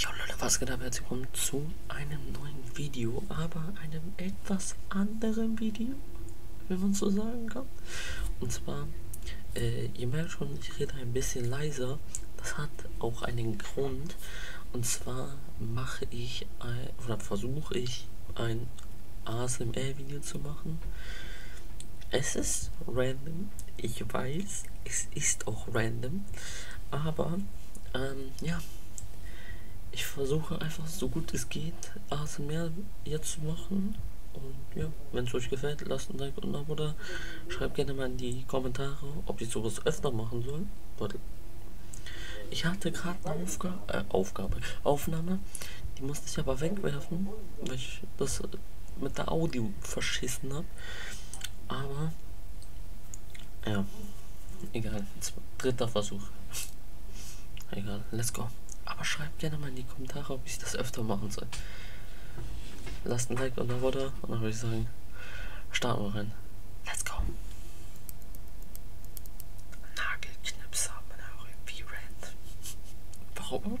Jo Leute, was geht ab? Herzlich willkommen zu einem neuen Video, aber einem etwas anderen Video, wenn man so sagen kann. Und zwar, äh, ihr merkt schon, ich rede ein bisschen leiser. Das hat auch einen Grund. Und zwar mache ich ein, oder versuche ich ein ASMR-Video zu machen. Es ist random, ich weiß, es ist auch random. Aber ähm, ja, ich versuche einfach so gut es geht, ASMR jetzt zu machen. Und ja, wenn es euch gefällt, lasst ein Like und ein Abo da. Schreibt gerne mal in die Kommentare, ob ich sowas öfter machen soll. Warte. Ich hatte gerade eine Aufga äh, Aufgabe, Aufnahme, die musste ich aber wegwerfen, weil ich das äh, mit der Audio verschissen habe. Aber, ja, egal. Dritter Versuch. Egal, let's go. Aber schreibt gerne mal in die Kommentare, ob ich das öfter machen soll. Lasst ein Like und ein Water und dann würde ich sagen, starten wir rein. Let's go. Nagelknipser, Rand. Warum?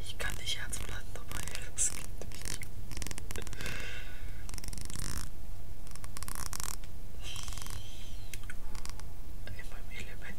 Ich kann nicht Herz bleiben dabei, das geht nicht. In meinem Element.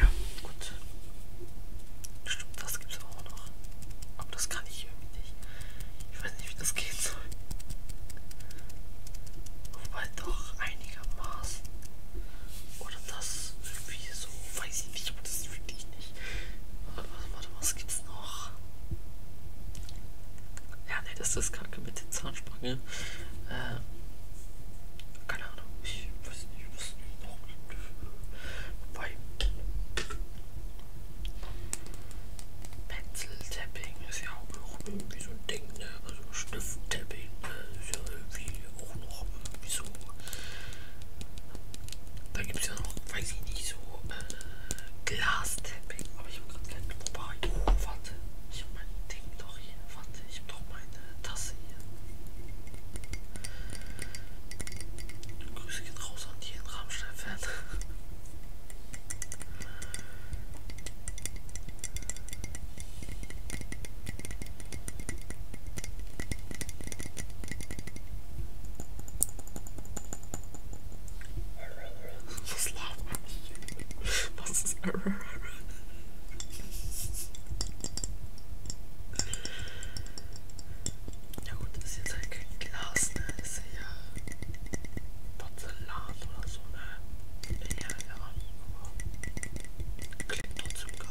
Ja, gut. Stimmt, das gibt's auch noch. Aber das kann ich irgendwie nicht. Ich weiß nicht, wie das gehen soll. Wobei doch einigermaßen. Oder das irgendwie so. Weiß ich nicht, aber das finde ich nicht. Warte, warte, was gibt's noch? Ja, ne, das ist kacke mit den Zahnsprüngen. Ähm. Keine Ahnung. Ich nicht, ich weiß nicht, was noch. Wobei. Pencil Tapping ist ja auch noch irgendwie so ein Ding, ne? Also Stift Tapping ne? ist ja irgendwie auch noch irgendwie so. Da gibt es ja noch, weiß ich nicht, so äh, Glas Tapping. Aber ich habe gerade keinen Wobei. Oh, warte. Ich habe mein Ding doch hier. Warte, ich habe doch meine Tasse hier. Grüße gehen raus an jeden Rammstein-Fan. Was lacht? Was ist Error? Ja gut, das ist jetzt halt kein Glas, ne? Das ist ja Porzellan oder so, ne? Ja, ja, aber klingt trotzdem geil.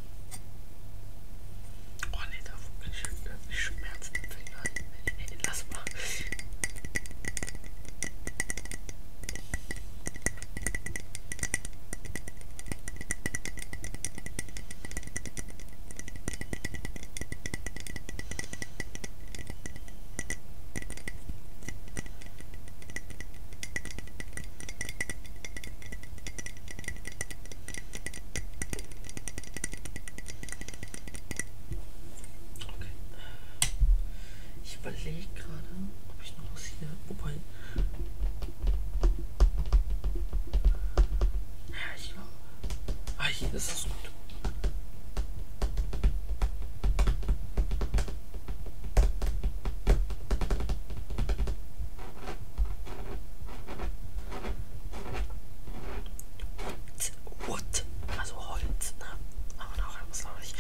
Oh ne, da ich, ich Schmerzen im Finger. Hey, lass mal. Okay. Ich überlege gerade, ob ich noch was hier. Wobei. Ja, ich glaube. Ah, hier ist es gut. Wood, also Holz, ne? Aber noch etwas launig.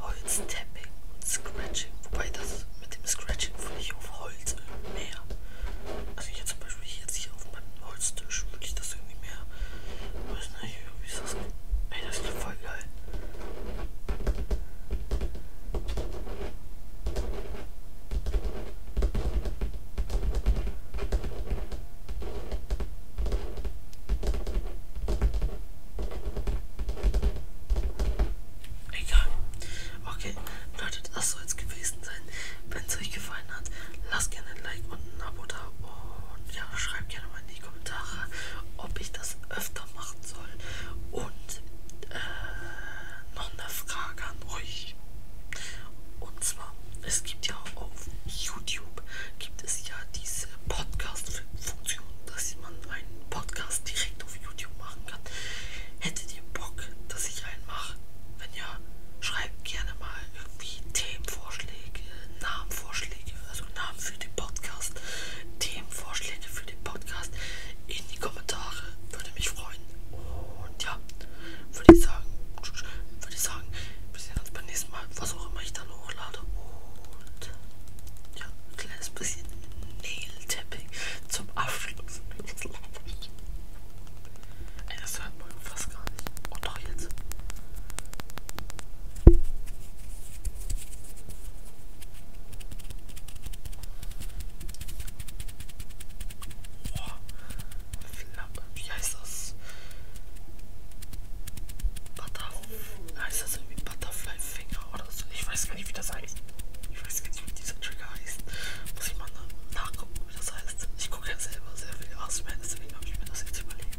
Holz tapping und scratching. Wobei das mit dem Scratching würde ich auf Holz mehr. Also jetzt zum Beispiel jetzt hier auf meinem Holztisch würde ich das irgendwie mehr. Ich weiß nicht, wie ist das? Ey, das klingt voll geil. Egal. Okay, Leute, das soll es gewesen sein. Wenn es euch gefallen hat, lasst gerne ein Like und ein Abo da. Und ja, schreibt gerne mal in die Kommentare, ob ich das öfter machen soll. Und äh, noch eine Frage an euch. Und zwar, es gibt ja auf YouTube, gibt es ja diese Podcast-Funktion, dass man einen Podcast direkt auf YouTube machen kann. Hättet ihr Bock, dass ich einen mache? Wenn ja, schreibt gerne mal irgendwie Themenvorschläge, Namenvorschläge, also Namen für den Podcast, Themenvorschläge für den Podcast in die Kommentare. Würde mich freuen. Und ja, würde ich sagen, würde ich sagen, wir sehen uns beim nächsten Mal, was auch immer ich dann hochlade. Und ja, ein kleines bisschen Nail-Tapping zum Abschluss. Ey, das hört man fast gar nicht. Und doch jetzt. Wie heißt das? Butterfly. Heißt das irgendwie Butterfly Finger oder so? Ich weiß gar nicht, wie das heißt. Ich weiß gar nicht, wie dieser Trigger heißt. Muss ich mal nachgucken, wie das heißt. Ich gucke ja selber sehr viel Aspen, deswegen habe ich mir das jetzt überlegt.